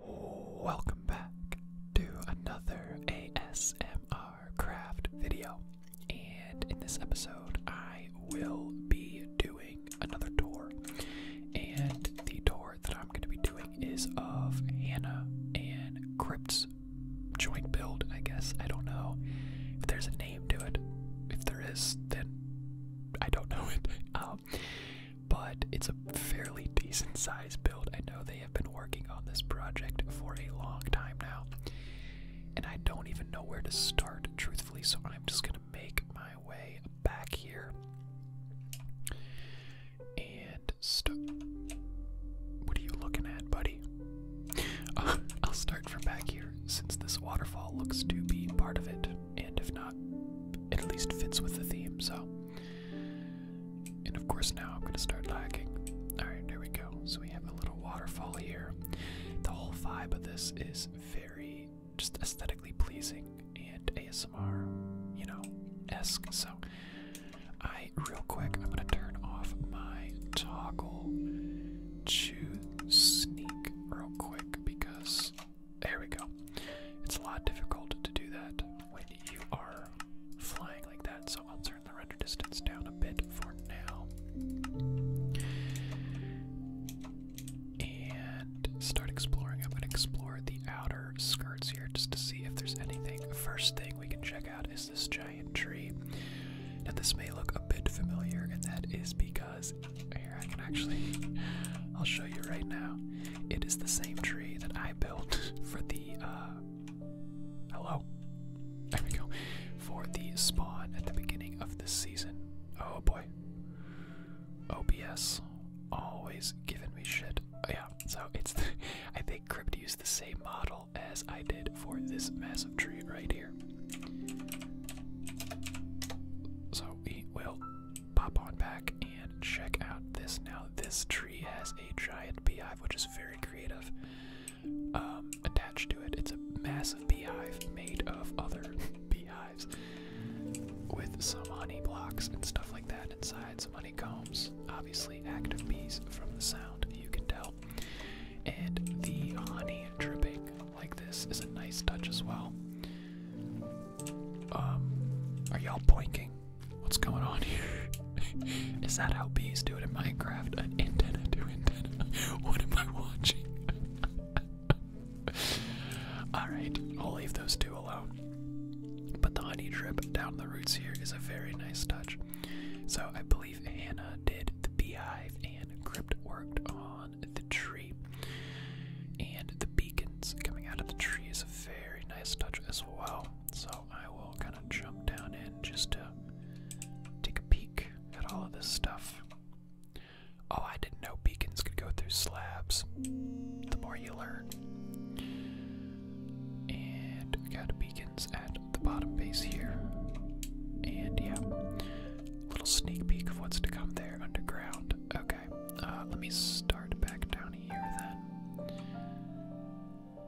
Welcome back to another ASMR craft video. And in this episode, I will be doing another tour. And the tour that I'm going to be doing is of Hannah and Crypt's joint build, I guess. I don't know if there's a name to it. If there is, then I don't know it. Um, but it's a fairly decent size build. I know they have been working on this project for a long time now, and I don't even know where to start, truthfully, so I'm just gonna make my way back here and stop. What are you looking at, buddy? I'll start from back here since this waterfall looks to be part of it, and if not, it at least fits with the theme, so and of course, now I'm going to start lagging. Alright, there we go. So we have a little waterfall here. The whole vibe of this is very just aesthetically pleasing and ASMR, you know, esque. So I, real quick, I'm going to turn off my toggle to sneak real quick because there we go. It's a lot difficult to do that when you are flying like that, so I'll turn the render distance down a bit for now. And start exploring. I'm going to explore the outer skirts here just to see if there's anything. First thing we can check out is this giant tree. Now, this may look a bit familiar, and that is because here I can actually, I'll show you right now. It is the same tree that I built for the uh, hello. There we go. For the spawn at the beginning of this season. Oh boy. OBS always giving me shit. Oh, yeah, so it's I think Crypt used the same model as I did for this massive tree right here. So we will pop on back and check out this now. This tree has a giant beehive, which is very creative, um, attached to it. It's a massive beehive made of other beehives with some honey blocks and stuff like that inside, some honeycombs, obviously active bees from the sound, you can tell. And the honey dripping like this is a nice touch as well. Um, are y'all boinking? What's going on here? Is that how bees do it in Minecraft? An antenna to antenna. What am I watching? Alright, I'll leave those two alone. But the honey drip down the roots here is a very nice touch. So I believe Anna did the beehive and Crypt worked on the tree. And the beacons coming out of the tree is a very nice touch as well. So I will kind of jump down in just to take a peek at all of this stuff. Oh, I didn't know beacons could go through slabs. The more you learn. And we got beacons at the bottom base here. And yeah, little sneak peek of what's to come there underground. Okay, uh, let me start back down here then.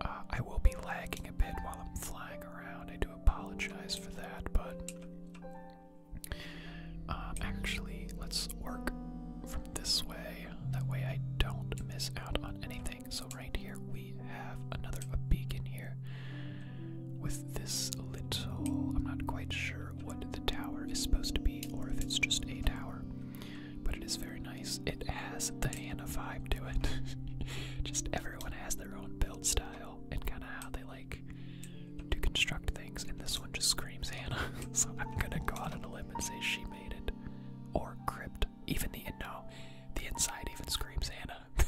Uh, I will be lagging a bit while I'm flying around. I do apologize for that, but uh, actually, let's work from this way. That way, I don't miss out on anything. So, right here, we have another a beacon here with this little. I'm not quite sure what the tower is supposed to be, or if it's just a tower but it is very nice. It has the Hannah vibe to it. Just everyone has their own build style and kind of how they like to construct things, and this one just screams Hannah. so I'm gonna go out on a limb and say she made it. Or crypt. Even the inside even screams Hannah.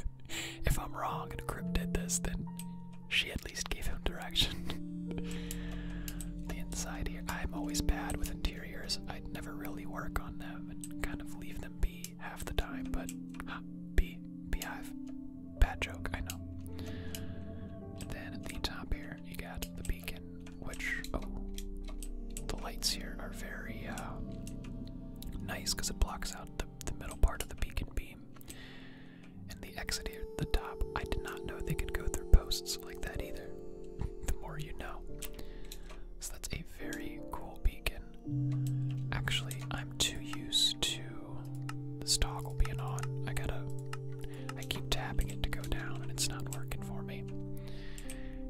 if I'm wrong and crypt did this, then she at least gave him direction. the inside here. I'm always bad with interior interiors, I'd never really work on them and kind of leave them be half the time, but huh, bee, beehive. Bad joke, I know. then at the top here, you got the beacon, which, oh, the lights here are very uh, nice because it blocks out the, the middle part of the beacon beam. And the exit here at the top, I did not know they could go through posts like that either the more you know. So that's a very cool beacon. Actually, I'm too used to this toggle being on. I gotta. I keep tapping it to go down, and it's not working for me.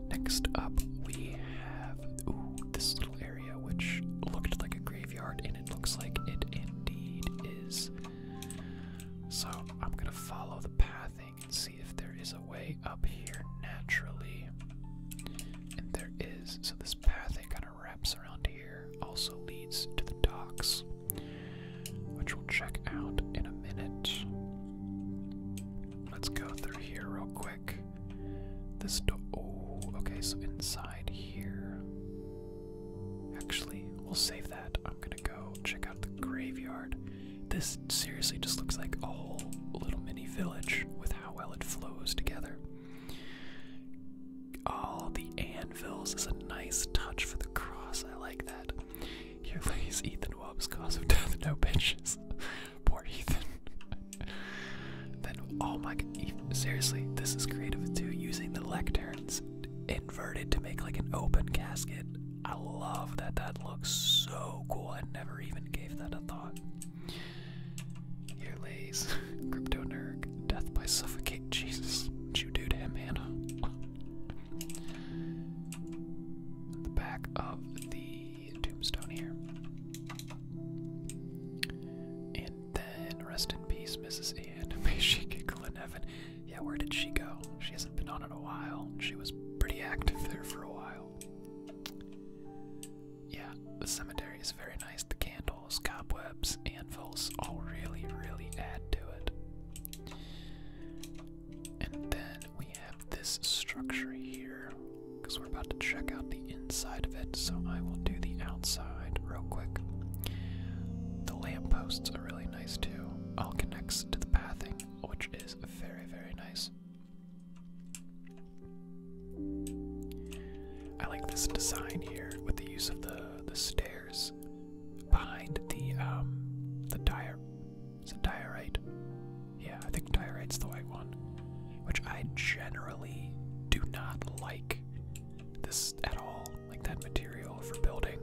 Next up, we have this little area which looked like a graveyard, and it looks like it indeed is. So I'm gonna follow the pathing and see if there is a way up here naturally. And there is. So this path that kind of wraps around here also leads to the docks, which we'll check out in a minute. Let's go through here real quick. This door. Oh, okay, so inside here. Actually, we'll save that. I'm gonna go check out the graveyard. This seriously just looks like a whole little mini village with how well it flows together. All the anvils is a nice touch for the cross. I like that. Here lays Ethan Wobb's cause of death. No benches. Poor Ethan. then, oh my seriously, this is creative too. Using the lecterns inverted to make like an open casket. I love that. That looks so cool. I never even gave that a thought. Here lays Crypto Nerg. Death by suffocate. Jesus. what you do to him, Hannah? the back of the tombstone here. And then rest in peace, Mrs. Anne. May she giggle in heaven. Yeah, where did she go? She hasn't been on in a while. She was pretty active there for a while. Yeah, the cemetery is very nice. The candles, cobwebs, anvils all really, really add to it. And then we have this structure here because we're about to check out the inside of it, so I will do the outside real quick. The lampposts are really nice too. All connects to the pathing which is very, very nice. I like this design here with the use of the the stairs behind the um the dire is diorite? Yeah, I think diorite's the white one. Which I generally do not like this at all, like that material for building.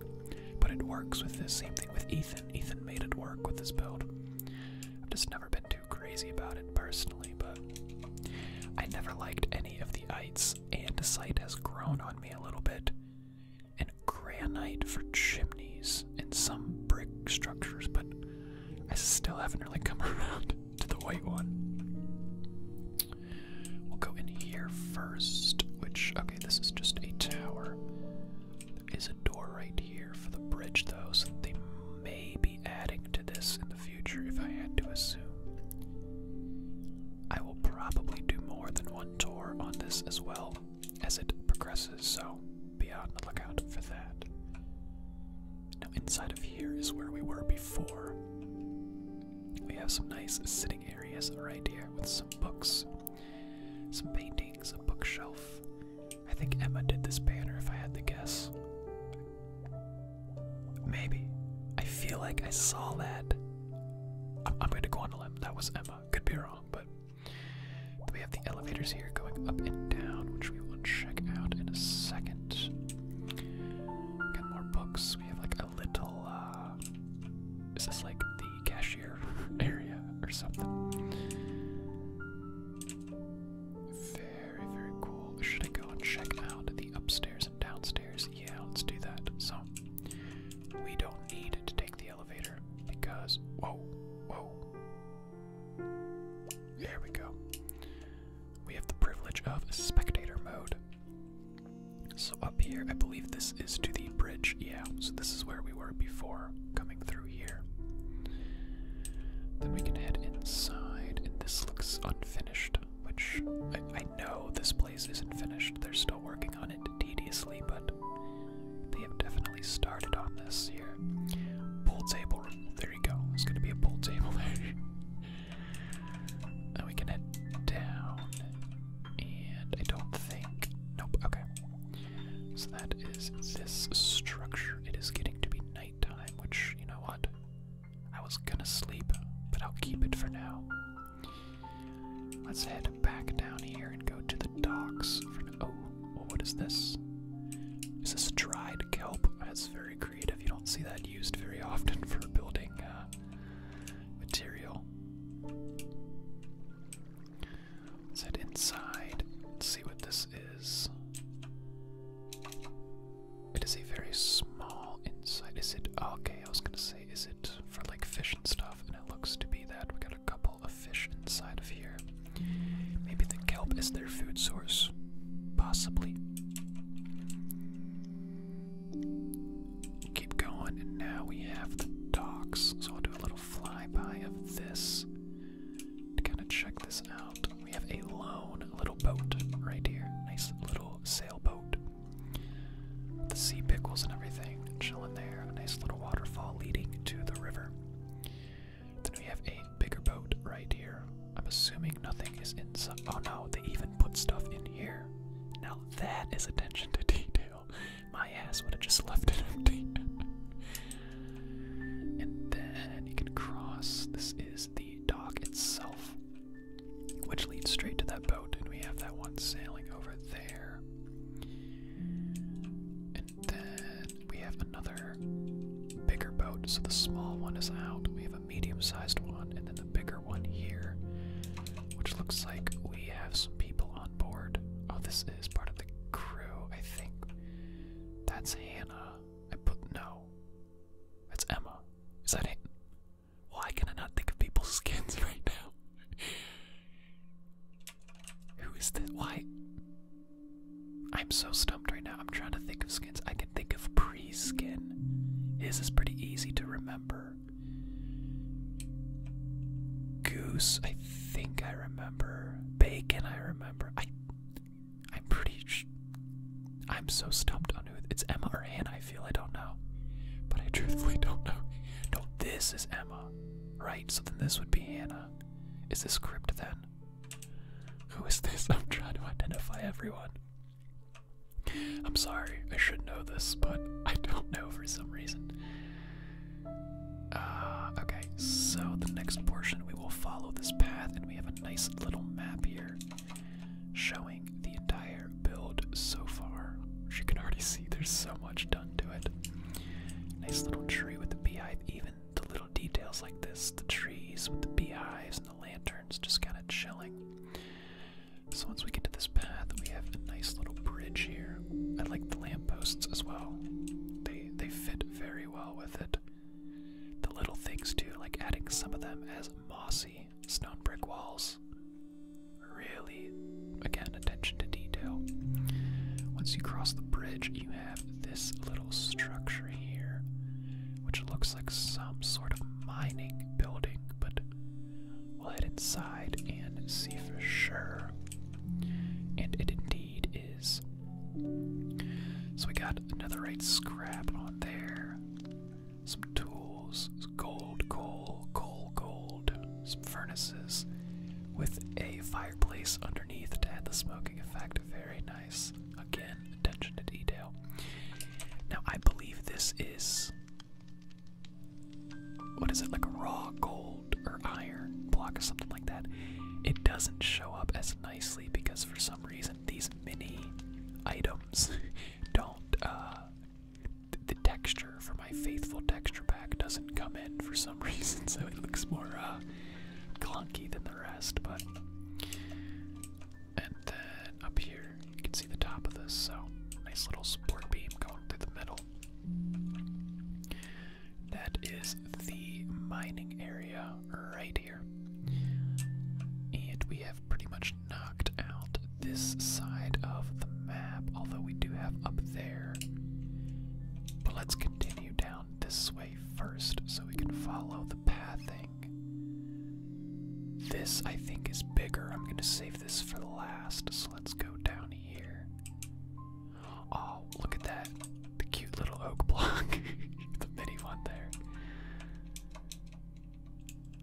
But it works with this same thing with Ethan. Ethan made it work with his build. I've just never been too crazy about it personally, but I never liked any of the ites, and site has grown on me a little bit. And granite for chimneys and some brick structures, but I still haven't really come around to the white one. We'll go in here first, which, okay, this is just a tower. There is a door right here for the bridge, though, so they may be adding to this in the future if I had to assume. I will probably do more than one tour on this as well as it progresses, so be on the lookout for that. Now, inside of here is where we were before. We have some nice sitting areas right here with some books, some paintings, a bookshelf, I think Emma did this banner, if I had to guess. Maybe. I feel like I saw that. I'm, going to go on a limb. That was Emma. Could be wrong, but. we have the elevators here going up and down, which we will check out in a second. Got more books. We have like a little. Uh, is this like the cashier area or something. Very, very cool. Should I go and check out the upstairs and downstairs? Yeah, let's do that. So, we don't need to take the elevator because. Whoa, whoa. There we go. We have the privilege of spectator mode. So, up here, I believe this is to the bridge. Yeah, so this is where we we were before coming through here. Then we can head inside, and this looks unfinished, which I, know this place isn't finished. They're still working on it tediously, but they have definitely started on this here. Pool table, there you go. It's gonna be a pool table there. we can head down, and I don't think. Nope, okay. So that is this structure. It is getting to be nighttime, which, you know what? I was gonna sleep, but I'll keep it for now. Let's head back down here and go to the docks. oh, what is this? Is this dried kelp? That's very creative. You don't see that used very often for building uh, material. Let's inside see what this is. It is a very small inside. Is it? okay, I was gonna say, is it for like fish and stuff? And it looks to be that. We got a couple of fish inside of here. Maybe the kelp is their food source. Possibly. Keep going, and now we have the docks. So I'll do a little flyby of this to kind of check this out. We have a lone little boat right here. Nice little sailboat. The sea pickles and everything chilling there. A nice little waterfall leading to the river. Then we have a bigger boat right here. I'm assuming nothing is inside. Oh no, they even put stuff in here. Now that is attention to detail my ass would have just left it empty. and then you can cross. This is the dock itself, which leads straight to that boat, and we have that one sailing over there. And then we have another bigger boat. So the small one is out. We have a medium-sized one, and then the bigger one here, which looks like we have some people on board. Oh, this is part of the crew, I think. That's Hannah. I put no. That's Emma. Is that it? Why can I not think of people's skins right now? Who is this? Why? I'm so stumped right now. I'm trying to think of skins. I can think of pre skin. His is pretty easy to remember. Goose, I think I remember. Bacon, I remember. I, I'm pretty. I'm so stumped on who it's Emma or Anne. I feel I don't know, but I truthfully don't know. No, this is Emma, right? So then this would be Hannah. Is this crypt then? Who is this? I'm trying to identify everyone. I'm sorry, I should know this, but I don't know for some reason. Uh, okay, so the next portion we will follow this path, and we have a nice little map here showing the entire build so far. As you can already see, there's so much done to it. Nice little tree with the beehive, even the little details like this the trees with the beehives and the lanterns just kind of chilling. So, once we get to this path, we have a nice little bridge here. I like the lampposts as well. They they fit very well with it. The little things, too, like adding some of them as mossy stone brick walls. Really, again, attention to detail. Once you cross the bridge, you have this little structure here, which looks like some sort of mining building, but we'll head inside and see for sure. And it indeed is so we got another right scrap on there. Some tools, gold, gold, coal, gold, some furnaces with a fireplace underneath to add the smoking effect. Very nice. Again, attention to detail. Now, I believe this is. What is it? Like a raw gold? or iron block or something like that, it doesn't show up as nicely because for some reason these mini items don't. Uh, the texture for my faithful texture pack doesn't come in for some reason, so it looks more uh, clunky than the rest. But and then up here you can see the top of this, so nice little support beam going through the middle. That is the mining area right here. And we have pretty much knocked out this side of the map, although we do have up there. But let's continue down this way first so we can follow the pathing. This, I think, is bigger. I'm going to save this for last, so let's go down here. Oh, look at that. The cute little oak block. the mini one there.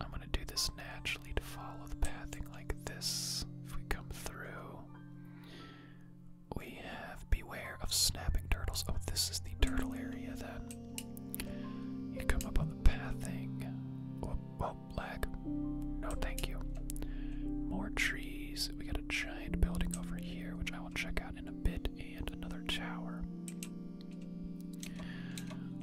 I'm gonna do this naturally to follow the pathing like this. If we come through, we have beware of snapping turtles. Oh, this is the turtle area then. You come up on the pathing. Oh, oh lag. No, thank you. More trees. We got a giant building over here, which I will check out in a bit, and another tower.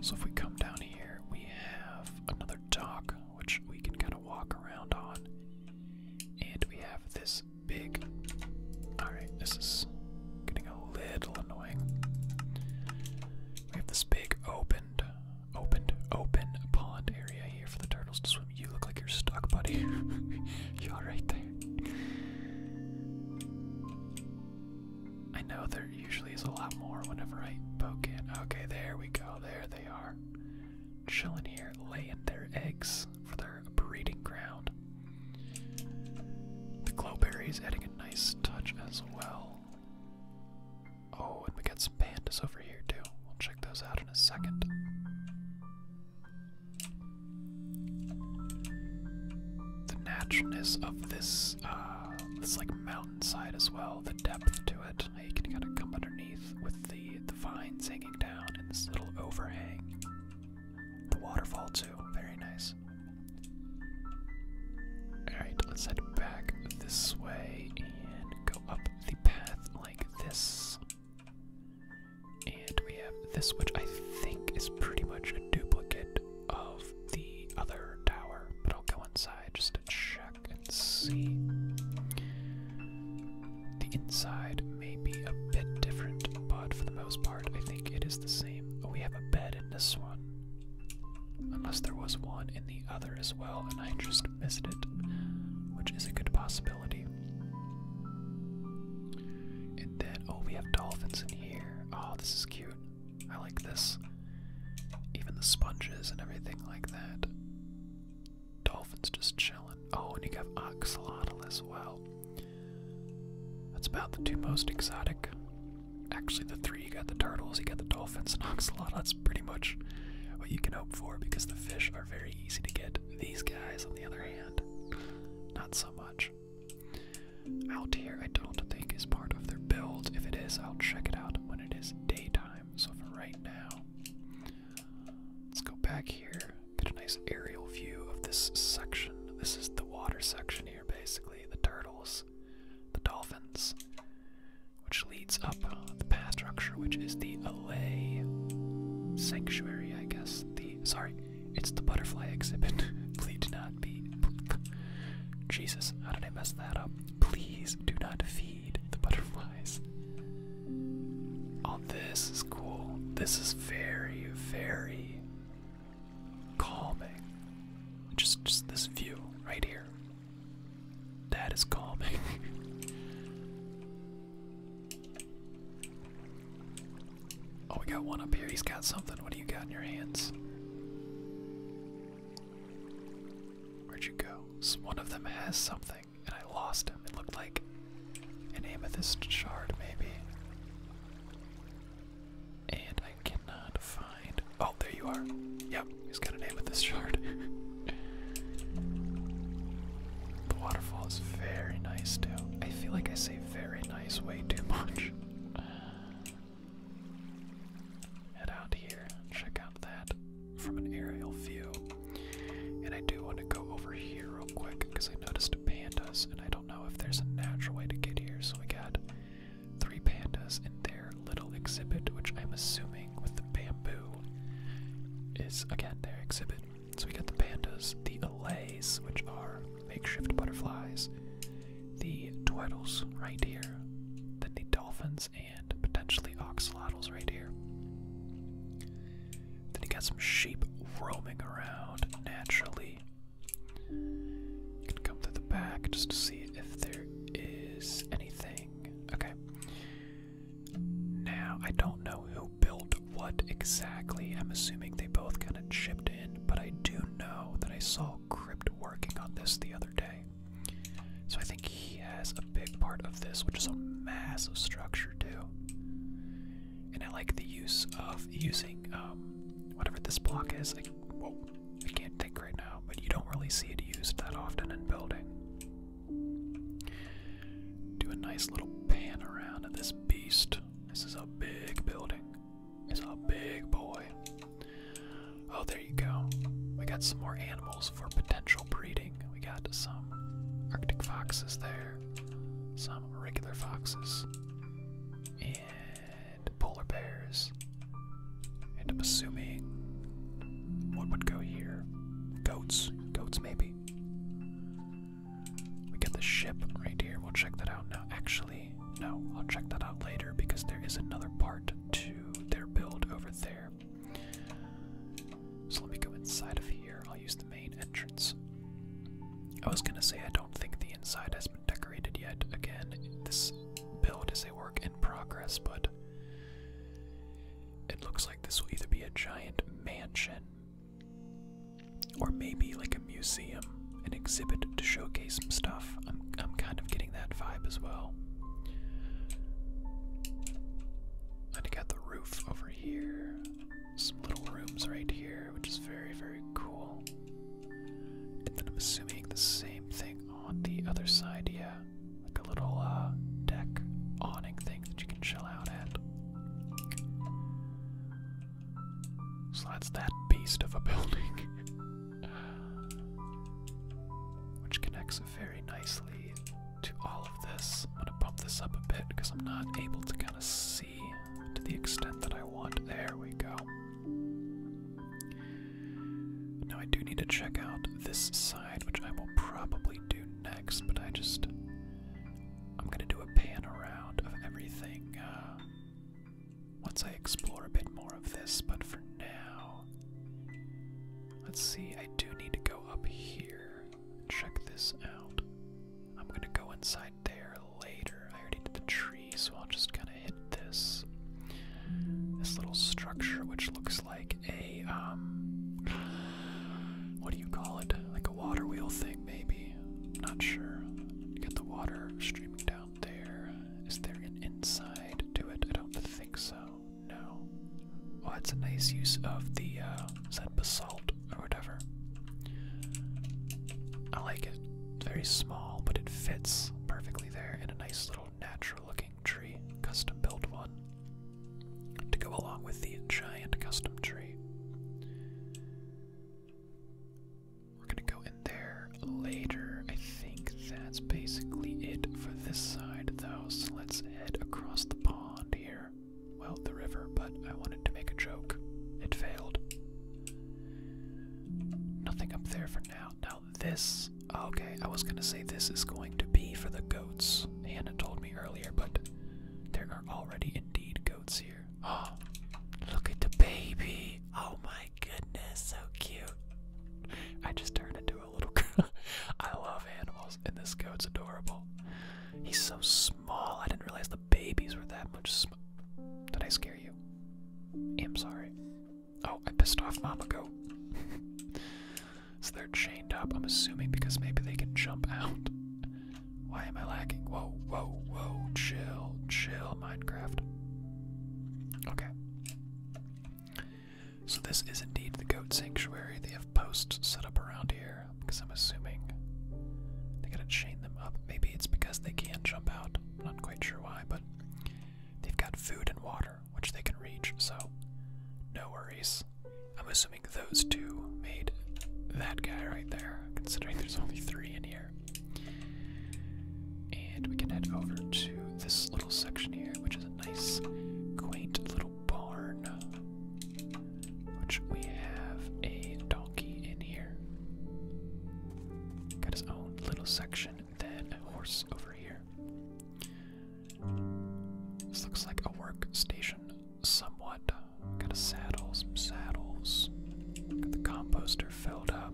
So if we come down here, we have another dock, which we can kind of walk around on. And we have this big. Alright, this is getting a little annoying. We have this big opened, opened, open pond area here for the turtles to swim you look like you're stuck, buddy. you are alright there? I know there usually is a lot more whenever I poke in. Okay, there we go. There they are. Chilling here, laying their eggs for their breeding ground. The glowberries adding a nice touch as well. Oh, and we got some pandas over here too. We'll check those out in a second the naturalness of this uh this like mountainside as well, the depth to it. you can kinda come underneath with the the vines hanging down and this little overhang. The waterfall too, very nice. Alright, let's head back this way and go up the path like this. And we have this, which I think is pretty much a duplicate of the other tower, but I'll go inside just to check and see. The inside may be a bit different, but for the most part, I think it is the same. Oh, we have a bed in this one. Unless there was one in the other as well, and I just missed it, which is a good possibility. And then, oh, we have dolphins in here. Oh, this is cute. I like this. Even the sponges and everything like that. Dolphins just chilling. Oh, and you have oxalotl as well. That's about the two most exotic. Actually, the three you got the turtles, you got the dolphins, and oxalotl. That's pretty much what you can hope for because the fish are very easy to get. These guys, on the other hand, not so much. Out here, I don't think is part of their build. If it is, I'll check it out when it is daytime. So for right now, let's go back here. Get a nice aerial view of this section. This is the water section here, basically. The turtles, the dolphins, which leads up uh, the path structure, which is the Alley Sanctuary, I guess sorry, It's the butterfly exhibit. Please do not be. Jesus, how did I mess that up? Please do not feed the butterflies. Oh, this is cool. This is very, very calming. Just, just this view right here. That is calming. Oh, we got one up here. He's got something. What do you got in your hands? Where'd you go? one of them has something, and I lost him. It looked like an amethyst shard, maybe. And I cannot find. Oh, there you are. Yep, he's got an amethyst shard. The waterfall is very nice too. I feel like I say very nice way too much. head out here, check out that from an aerial view. And I do want to go over here real quick because I noticed pandas, and I don't know if there's a natural way to get here. So we got three pandas in their little exhibit, which I'm assuming with the bamboo is again their exhibit. So we got the pandas, the allays, which are makeshift butterflies, the tweddles right here, then the dolphins and potentially oxalotls right here. Then you got some sheep roaming around naturally. can come through the back just to see if there is anything. Okay. Now I don't know who built what exactly. I'm assuming they both kind of chipped in, but I do know that I saw Crypt working on this the other day. So I think he has a big part of this, which is a massive structure too. And I like the use of using um, whatever this block is. I, whoa, I can't think right now, but you don't really see it used that often in building. Do a nice little pan around of this beast. This is a big building. It's a big boy. Oh, there you go. We got some more animals for potential breeding. We got some Arctic foxes there, some regular foxes, and polar bears. And I'm assuming what would go here? Goats. Goats, maybe. We get the ship right here. We'll check that out now. Actually, no, I'll check that out later because there is another part to their build over there. So let me go inside of here. I'll use the main entrance. I was gonna say I don't think the inside has been decorated yet. Again, this build is a work in progress, but it looks like this will either be a giant mansion or maybe like a museum, an exhibit to showcase some stuff. I'm, I'm kind of getting that vibe as well. I got the roof over here, some little rooms right here, which is very, very cool. And then I'm assuming the same thing on the other side, yeah. Like a little uh, deck awning thing that you can chill out at. So that's that beast of a building. Which connects very nicely to all of this. I'm gonna bump this up a bit because I'm not able to kind of see to the extent that I want. There we go. Now I do need to check out this side, which I will probably do next, but I just I'm gonna do a pan around of everything uh, once I explore a bit more of this, but for now, let's see. I do need to go up here. Check this out. I'm gonna go inside there later. I already did the tree, so I'll just kind of hit this this little structure, which looks like a um, what do you call it? Like a water wheel thing, maybe. I'm not sure. You got the water streaming down there. Is there an inside to it? I don't think so. No. Well, it's a nice use of the uh, is that basalt or whatever. I like it. very small, but it fits perfectly there in a nice little natural-looking tree, custom-built one, to go along with the giant custom tree. We're gonna go in there later. I think that's basically it for this side, though, so let's head across the pond here. Well, the river, but I wanted to make a joke. It failed. Nothing up there for now. Now, this. Okay, I was gonna say this is going to be for the goats. Hannah told me earlier, but there are already indeed goats here. Oh, look at the baby. Oh my goodness, so cute. I just turned into a little girl. I love animals, and this goat's adorable. He's so small. I didn't realize the babies were that much small. Did I scare you? I'm sorry. Oh, I pissed off Mama Goat. so they're chained up, I'm assuming, because maybe they can jump out. Why am I lagging? Whoa, whoa, whoa, chill, chill, Minecraft. Okay. So this is indeed the goat sanctuary. They have posts set up around here, because I'm assuming they gotta chain them up. Maybe it's because they can't jump out. I'm not quite sure why, but they've got food and water, which they can reach, so no worries. I'm assuming those two made that guy right there, considering there's only three in and we can head over to this little section here, which is a nice, quaint little barn. Which we have a donkey in here. Got his own little section, and then a horse over here. This looks like a work station, somewhat. Got a saddle, some saddles. Got the composter filled up.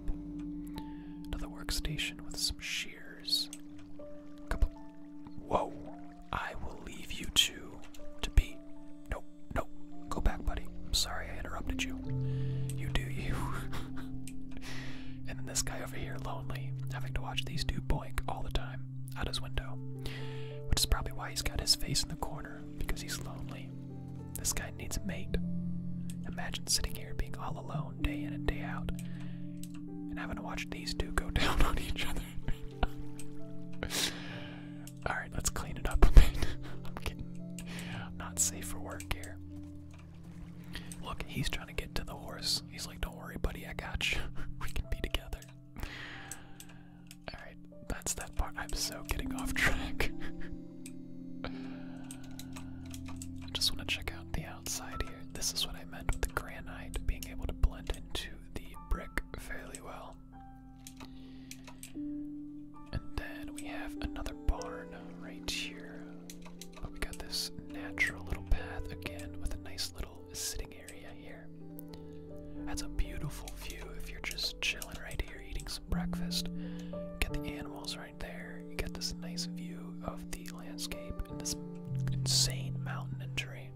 To the workstation with some shears. couple. Whoa! I will leave you two to be. Nope, nope. Go back, buddy. I'm sorry I interrupted you. You do you. and then this guy over here, lonely, having to watch these two boink all the time out of his window. Which is probably why he's got his face in the corner, because he's lonely. This guy needs a mate. Imagine sitting here being all alone day in and day out and having to watch these two go down on each other. Alright, let's clean it up a bit. I'm kidding. not safe for work here. Look, he's trying to get to the horse. He's like, don't worry, buddy, I got you. we can be together. Alright, that's that part. I'm so getting off track. I just want to check out the outside here. This is what I meant with the granite being able to blend into the brick fairly well. And then we have another barn right here. But we got this natural little path again with a nice little sitting area here. That's a beautiful view if you're just chilling right here, eating some breakfast. Get the animals right there. You get this nice view of the landscape and this insane mountain and terrain.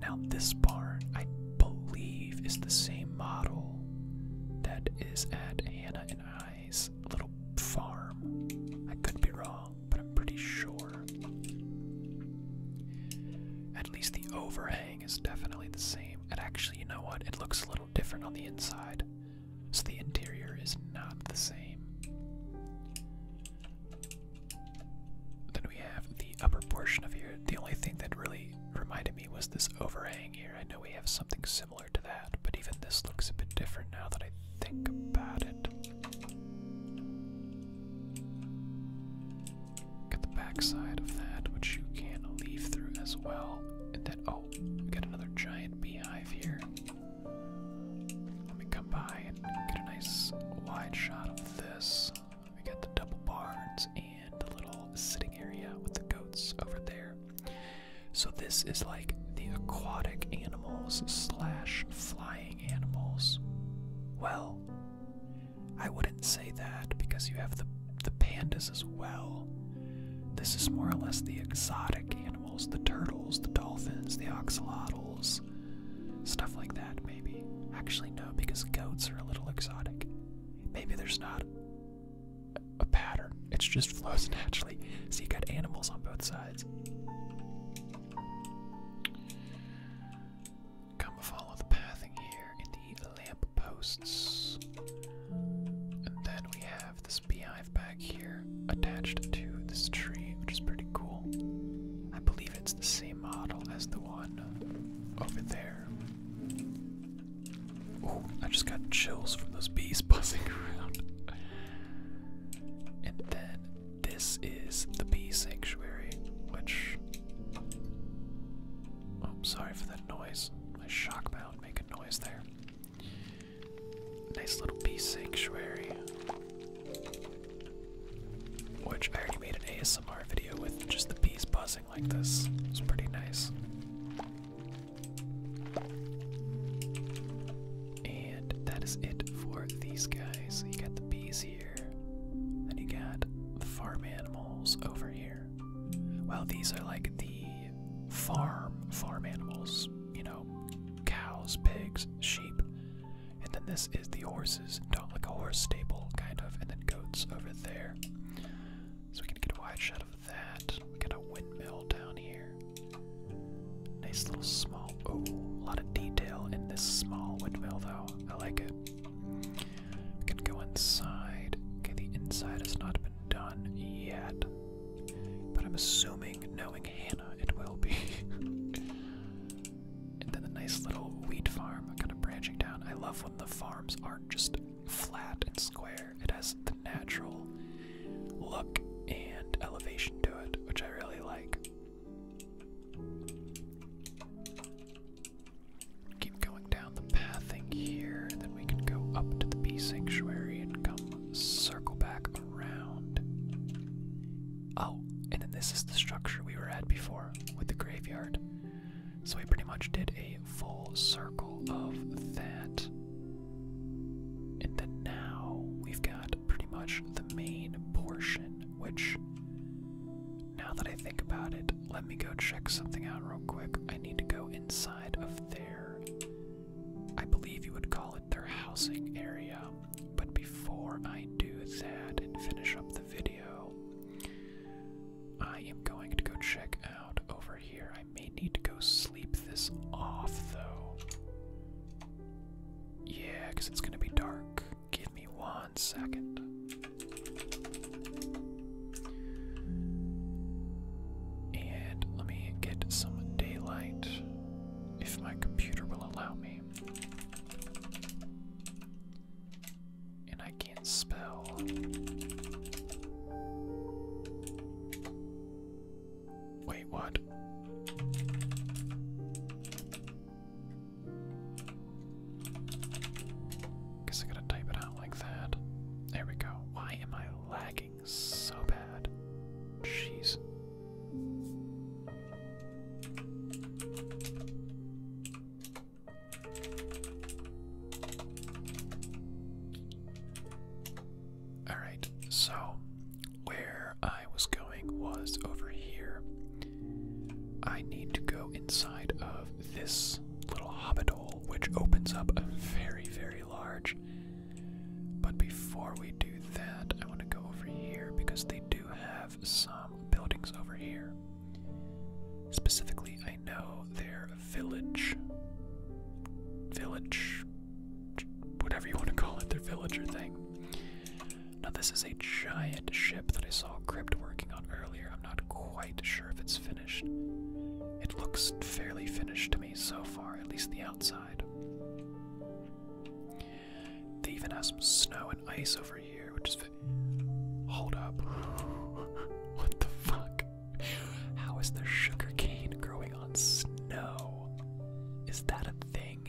Now, this barn, I believe, is the same model that is at Hannah and I's little farm. I could be wrong, but I'm pretty sure. At least the overhang is definitely the same. And actually, you know what? It looks a little different on the inside. So the interior is not the same. Then we have the upper portion of here. The only thing that really reminded me was this overhang here. I know we have something similar to that, but even this looks a bit different now that I think about it. Got the backside of that, which you can leave through as well. And then, oh, we got another giant beehive here. Let me come by and get a nice wide shot of this. We got the double barns and the little sitting area with the goats over there. So this is like the aquatic animals slash flying animals. Well, I wouldn't say that because you have the the pandas as well. This is more or less the exotic animals, the turtles, the dolphins, the oxalotls, stuff like that maybe. Actually no, because goats are a little exotic. Maybe there's not a pattern. It just flows naturally. So you got animals on both sides. Come follow the path here in the lamp posts. And then we have this beehive back here attached to this tree, which is pretty cool. I believe it's the same model as the one over there. Oh, I just got chills from those bees buzzing around. and then this is the bee sanctuary, which. Oh, I'm sorry for that noise. My shock mount make a noise there. Nice little bee sanctuary. Which I already made an ASMR video with just the bees buzzing like this. It's pretty nice. And that is it for these guys. You got the bees here, and you got the farm animals over here. Well, these are like the farm farm animals, you know, cows, pigs, sheep. And then this is the horses, don't like a horse stable kind of, and then goats over there. So we can get a wide shot of that. We got a windmill down here. Nice little small, oh, a lot of detail in this small windmill though. I like it. We can go inside. Okay, the inside has not been done yet. But I'm assuming, knowing Hannah, it will be. and then the nice little wheat farm kind of branching down. I love when the farms aren't just flat and square, it has the natural look and elevation to it, which I really like keep going down the pathing here, and then we can go up to the bee sanctuary and come circle back around. Oh, and then this is the structure we were at before with the graveyard. So we pretty much did a full circle of that. And then now we've got pretty much the main portion, which, now that I think about it, let me go check something out real quick. I need to go inside of their, I believe you would call it their housing area. But before I do that and finish up the video, I am going to go check out over here. I may need to go sleep this off though. Yeah, because it's going to be dark. Give me one second. And let me get some daylight if my computer will allow me. And I can't spell. Wait, what? Guess I gotta type it out like that. There we go. Why am I lagging so bad? Jeez. Alright, so where I was going was over here. I need to go inside of this little hobbit hole, which opens up a very, very large. But before we do that, I want to go over here because they do have some buildings over here. Specifically, I know their village. Village. Whatever you want to call it, their villager thing. Now, this is a giant ship that I saw Crypt working on earlier. I'm not quite sure if it's finished. It looks fairly finished to me so far, at least the outside. They even have some snow and ice over here, which is. Hold up. what the fuck? How is there sugar cane growing on snow? Is that a thing?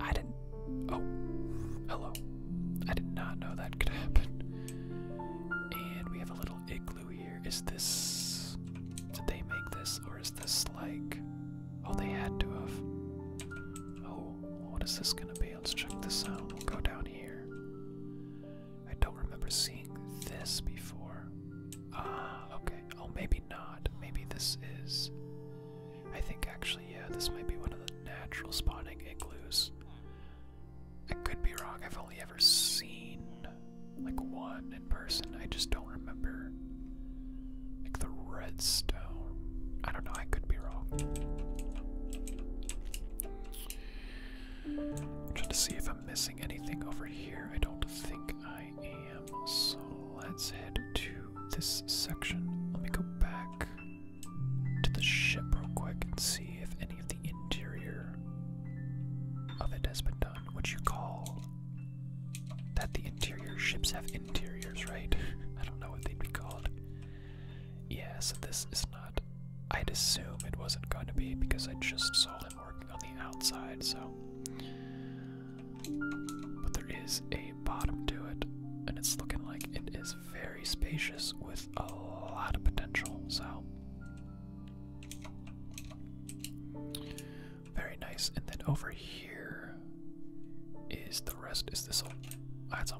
I didn't. Oh, hello. I did not know that could happen. And we have a little igloo here. Is this. Did they make this? Or is this like. Oh, they had to have. Oh, what is this gonna be? Let's check this out. go down here. I don't remember seeing this before. Ah, okay. Oh, maybe not. Maybe this is. I think actually, yeah, this might be one of the natural spawning igloos. I could be wrong. I've only ever seen like one in person. I just don't remember like the redstone. I don't know. I could be wrong. I'm trying to see if I'm missing anything over here. I don't think I am. So let's head to this section. Let me go back to the ship real quick and see if any of the interior of it has been done. What you call that the interior ships have interiors, right? I don't know what they'd be called. Yeah, so this is not. I'd assume it wasn't going to be because I just saw him working on the outside, so. But there is a bottom to it, and it's looking like it is very spacious with a lot of potential, so very nice. And then over here is the rest. Is this a that's a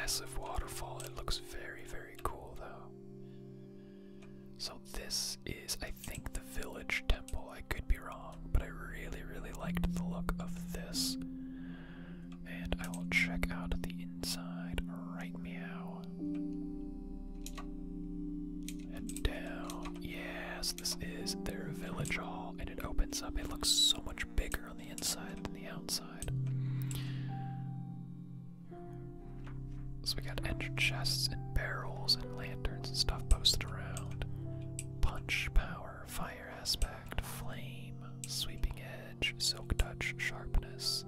massive waterfall. It looks very, very cool though. So this is I think the village temple. I could be wrong, but I really, really liked the look of this. And I will check out the inside right meow. And down. Yes, this is their village hall, and it opens up. It looks so much bigger on the inside than the outside. So we got enter chests and barrels and lanterns and stuff posted around. Punch, power, fire aspect, flame, sweeping silk touch, sharpness,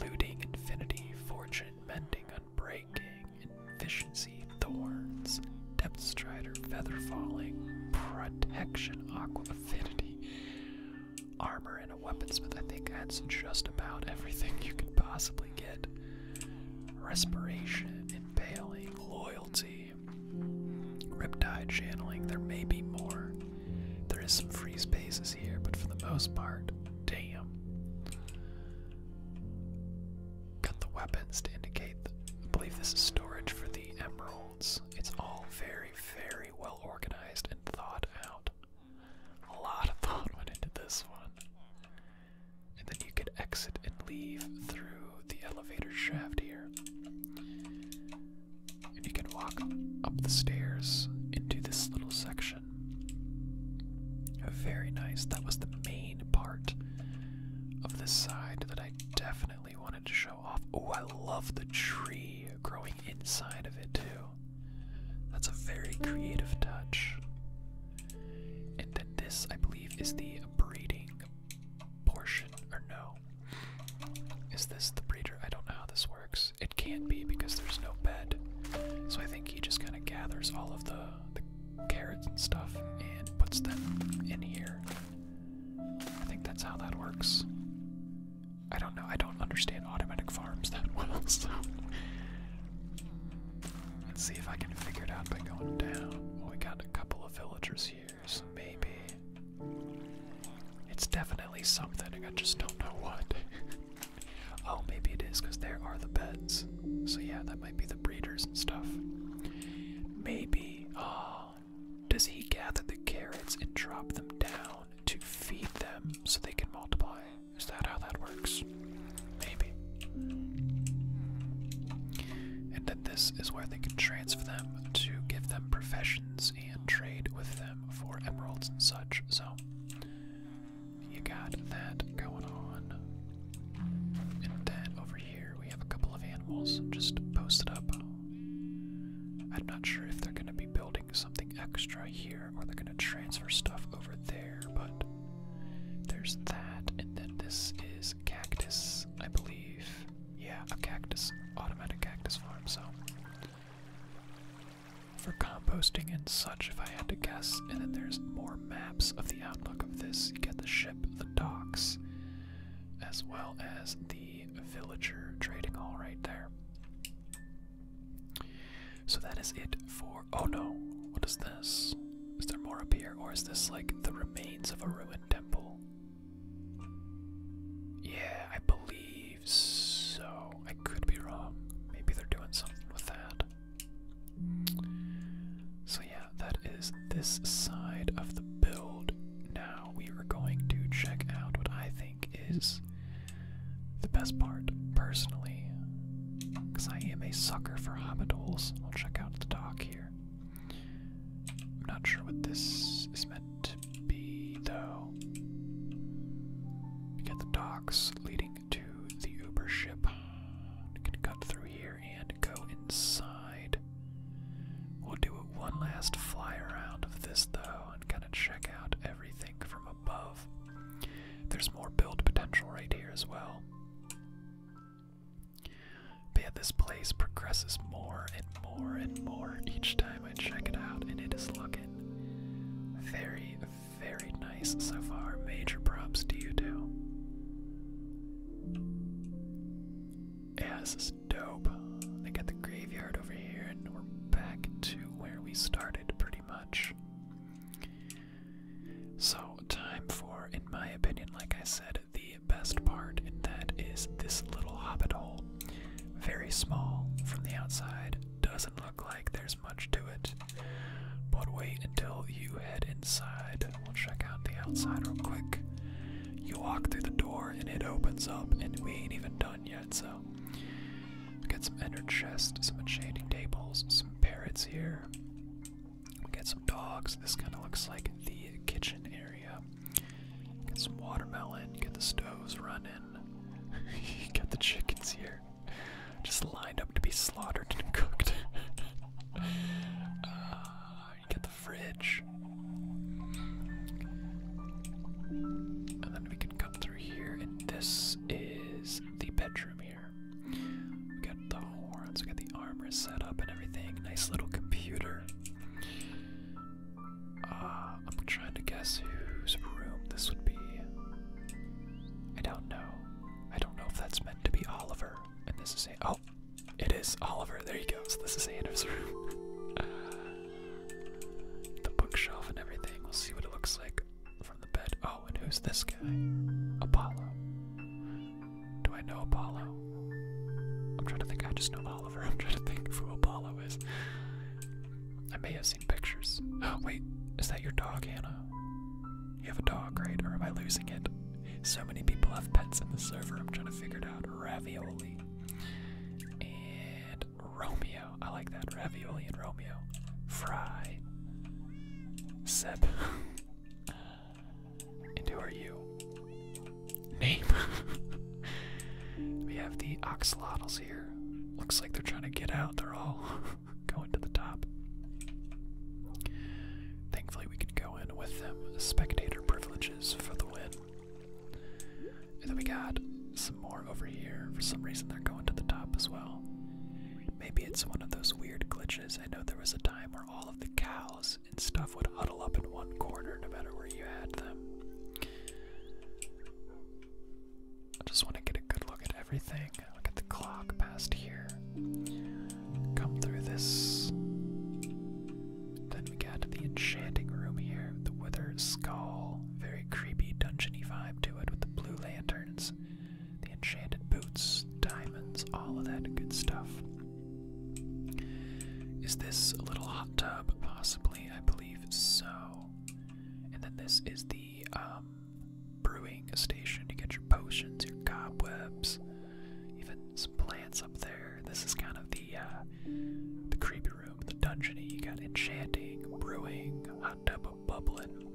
looting, infinity, fortune, mending, unbreaking, efficiency, thorns, depth strider, feather falling, protection, aqua affinity, armor, and a weaponsmith. I think that's just about everything you could possibly get. Respiration, impaling, loyalty, riptide channeling. There may be more. There is some free spaces here, but for the most part, damn. Got the weapons to indicate. I believe this is storage for the emeralds. It's all very, very well organized and thought out. A lot of thought went into this one. And then you could exit and leave through the elevator shaft here. And you can walk up the stairs into this little section. Very nice. That was the main part of this side that I definitely wanted to show off. Oh, I love the tree growing inside of it, too. That's a very creative touch. And then this, I believe, is the breeding portion, or no, is this the breeder? I don't know how this works. It can't be because there's no bed. So I think he just kind of gathers all of the, carrots and stuff and puts them in here. I think that's how that works. I don't know. I don't understand automatic farms that well, so. Let's see if I can figure it out by going down. we got a couple of villagers here, so maybe. It's definitely something, I just don't know what. oh, maybe it is because there are the beds. So, yeah, that might be the breeders and stuff. Maybe. Oh, does he gather the carrots and drop them down to feed them so they can multiply? Is that how that works? Maybe. And then this is where they can transfer them to give them professions and trade with them for emeralds and such. So you got that going on. And then over here we have a couple of animals just posted up. I'm not sure if they're going to be building something extra here or they're going to transfer stuff over there, but there's that. And then this is cactus, I believe. Yeah, a cactus, automatic cactus farm, so for composting and such, if I had to guess. And then there's more maps of the outlook of this. You get the ship, the docks, as well as the villager trading hall right there. So that is it for. Oh no! What is this? Is there more up here? Or is this like the remains of a ruined temple? Yeah, I believe so. I could be wrong. Maybe they're doing something with that. So, yeah, that is this side of the build. Now we are going to check out what I think is the best part, personally, because I am a sucker for hobbit holes. We'll check out the dock here. I'm not sure what this is meant be, though. We got the docks leading to the Uber ship. We can cut through here and go inside. We'll do one last fly around of this, though, and kind of check out everything from above. There's more build potential right here as well. But this place progresses more and more and more each time time I check it out, and it is looking very, very nice so far. Major props to you two. Yeah, is dope. They got the graveyard over here, and we're back to where we started pretty much. So, time for, in my opinion, like I said, the best part, and that is this little hobbit hole. Very small from the outside, doesn't look like there's much to it. But wait until you head inside. We'll check out the outside real quick. You walk through the door and it opens up, and we ain't even done yet, so. We get some ender chests, some enchanting tables, some parrots here. We get some dogs. This kind of looks like the kitchen area. Get some watermelon, get the stoves running you got the chickens here, just lined up to be slaughtered and cooked. uh, you got the fridge, and then we can come through here. And this is the bedroom here. We got the horns, we got the armor set up and everything. Nice little computer. Uh, I'm trying to guess whose room this would be. I don't know. I don't know if that's meant to be Oliver. And this is a oh, it is Oliver. There you go. So this is Anna's room. the bookshelf and everything. We'll see what it looks like from the bed. Oh, and who's this guy? Apollo. Do I know Apollo? I'm trying to think. I just know Oliver. I'm trying to think who Apollo is. I may have pictures. Oh, wait, is that your dog, Hannah? You have a dog, right? Or am I losing it? So many people have pets in the server. I'm trying to figure it out. Ravioli and Romeo. I like that. Ravioli and Romeo. Fry. Sep. and who are you? Name. we have the Oxalotl Looks like they're trying to get out. They're all going to the top. Thankfully, we can go in with them. Spectator privileges for the win. And then we got some more over here. For some reason, they're going to the top as well. Maybe it's one of those weird glitches. I know there was a time where all of the cows and stuff would huddle up in one corner no matter where you had them. I just want to get a good look at everything. Look at the clock past here. Come through this. Then we got the enchanting room here. The withered skull. Very creepy dungeony vibe to it with the blue lanterns, the enchanted boots, diamonds, all of that good stuff. Is this a little hot tub? Possibly, I believe so. And then this is the the um, brewing station to get your potions, your cobwebs, even some plants up there. This is kind of the uh, the creepy room, the dungeony. You got enchanting, brewing, hot tub bubbling.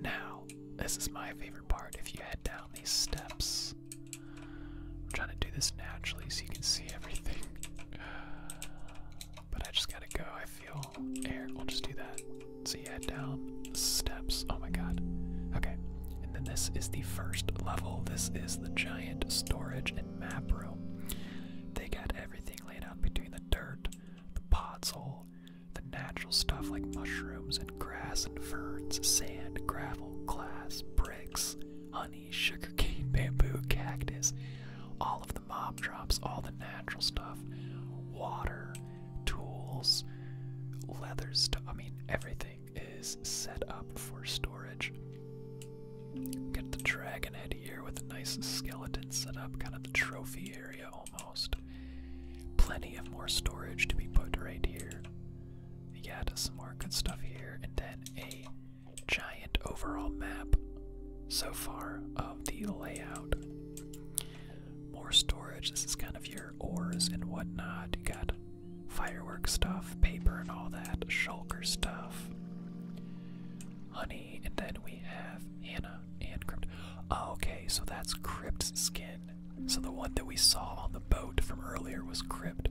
Now, this is my favorite part. If you head down these steps, I'm trying to do this naturally so you can see everything. But I just gotta go. I feel air. We'll just do that. So you head down steps. Oh my god. Okay. And then this is the first level. This is the giant storage and map room. They got everything laid out between the dirt, the pot podzol, the natural stuff like mushrooms and grass and ferns, sand, gravel, glass, bricks, honey, sugarcane, bamboo, cactus. All of them the drops, all the natural stuff, water, tools, leathers. I mean, everything is set up for storage. Get the dragon head here with a nice skeleton set up, kind of the trophy area almost. Plenty of more storage to be put right here. Yeah, some more good stuff here, and then a giant overall map so far of the layout. More storage. This is kind of your ores and whatnot. You got firework stuff, paper and all that, shulker stuff, honey, and then we have Anna and Crypt. Oh, okay, so that's Crypt skin. So the one that we saw on the boat from earlier was Crypt.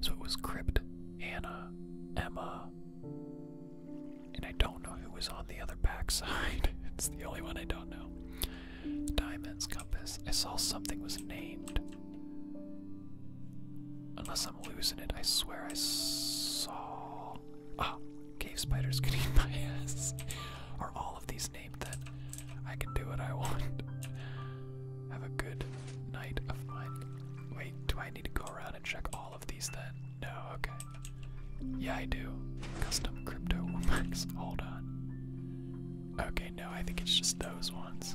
So it was Crypt, Anna, Emma, and I don't know who was on the other backside. it's the only one I don't know. Diamonds, compass. I saw something was named. Unless I'm losing it, I swear I saw. Ah, cave spiders could eat my ass. Are all of these named then? I can do what I want. Have a good night of mine. Wait, do I need to go around and check all? of these then? No, okay. Yeah, I do. Custom crypto womax. Hold on. Okay, no, I think it's just those ones.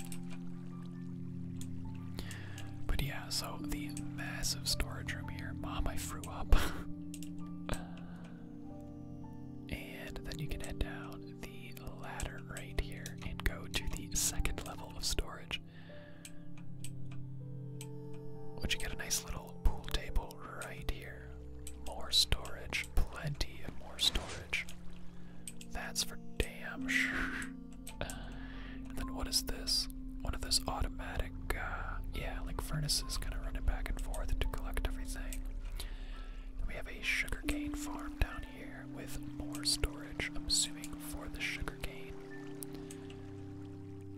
But yeah, so the massive storage room here. Mom, I threw up. and then you can head down the ladder right here and go to the second level of storage. Would you get a nice little pool table right here? More storage, plenty of more storage. That's for damn sure. And then what is this? One of those automatic, uh, yeah, like furnaces kind of running back and forth to collect everything. we have a sugarcane farm down here with more storage, I'm assuming, for the sugarcane.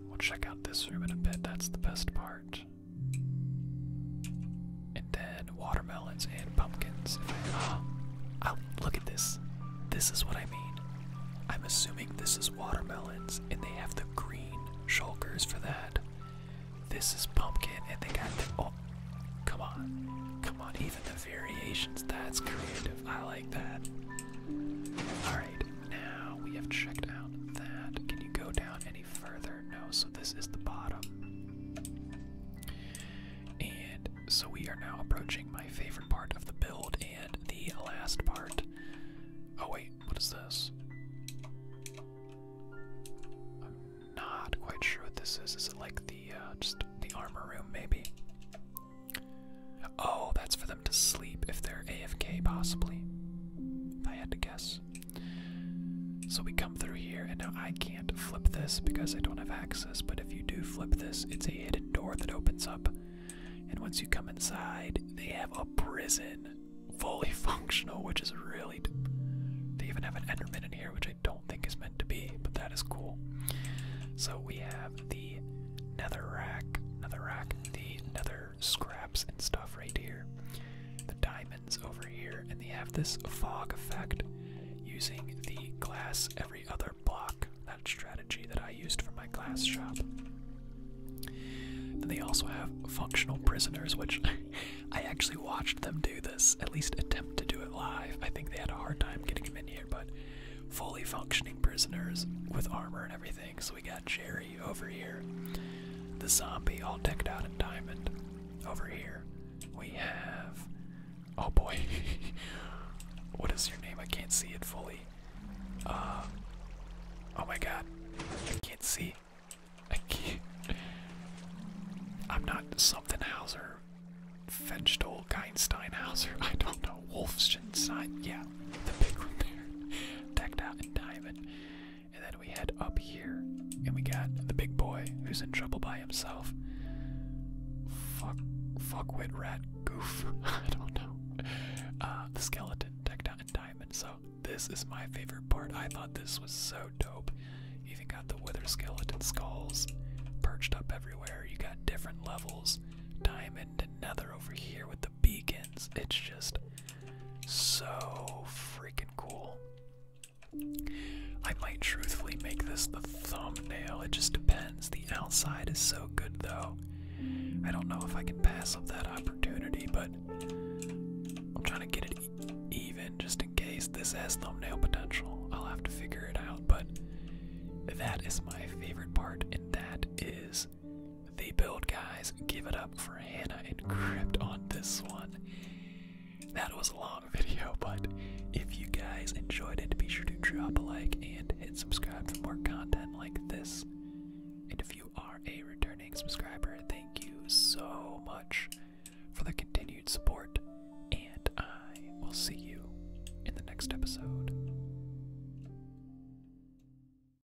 We'll check out this room in a bit, that's the best part. And then watermelons and pumpkins. If I, uh, look at this. This is what I mean. I'm assuming this is watermelons, and they have the green shulkers for that. This is pumpkin, and they got the. Oh, come on. Come on, even the variations. That's creative. I like that. Alright, now we have checked out that. Can you go down any further? No, so this is the bottom. And so we are now approaching my favorite part of the build and the last part. Oh, wait, what is this? I'm not quite sure what this is. Is it like the uh, just the armor room, maybe? Oh, that's for them to sleep if they're AFK, possibly. If I had to guess. So we come through here, and now I can't flip this because I don't have access, but if you do flip this, it's a hidden door that opens up. And once you come inside, they have a prison fully functional, which is really. They even have an Enderman in here, which I don't think is meant to be, but that is cool. So we have the nether rack, nether rack, the nether scraps and stuff right here. The diamonds over here, and they have this fog effect using the glass every other block, that strategy that I used for my glass shop. Then they also have functional prisoners, which I actually watched them do this, at least attempt to do it live. I think they had a hard time getting them in here, but fully functioning prisoners with armor and everything. So we got Jerry over here. The zombie all decked out in diamond. Over here, we have. Oh boy. what is your name? I can't see it fully. Uh, oh my god. I can't see. I can't. I'm not something Hauser. Fenchtel Geinsteinhauser. I don't know. Wolfenstein. Yeah. The big one there. Decked out in diamond. And then we head up here. And we got the big boy who's in trouble by himself. Fuck fuckwit rat goof. I don't know. Uh, the skeleton decked out in diamond. So this is my favorite part. I thought this was so dope. even got the wither skeleton skulls perched up everywhere. You got different levels. Diamond and nether over here with the beacons. It's just so freaking cool. I might truthfully make this the thumbnail. It just depends. The outside is so good, though. I don't know if I can pass up that opportunity, but I'm trying to get it even just in case this has thumbnail potential. I'll have to figure it out, but that is my favorite part, and that is the build, guys. Give it up for Hannah and Crypt on this one. That was a long video, but if you guys enjoyed it, be sure to drop a like and hit subscribe for more content like this. And if you are a returning subscriber, thank you so much for the continued support, and I will see you in the next episode.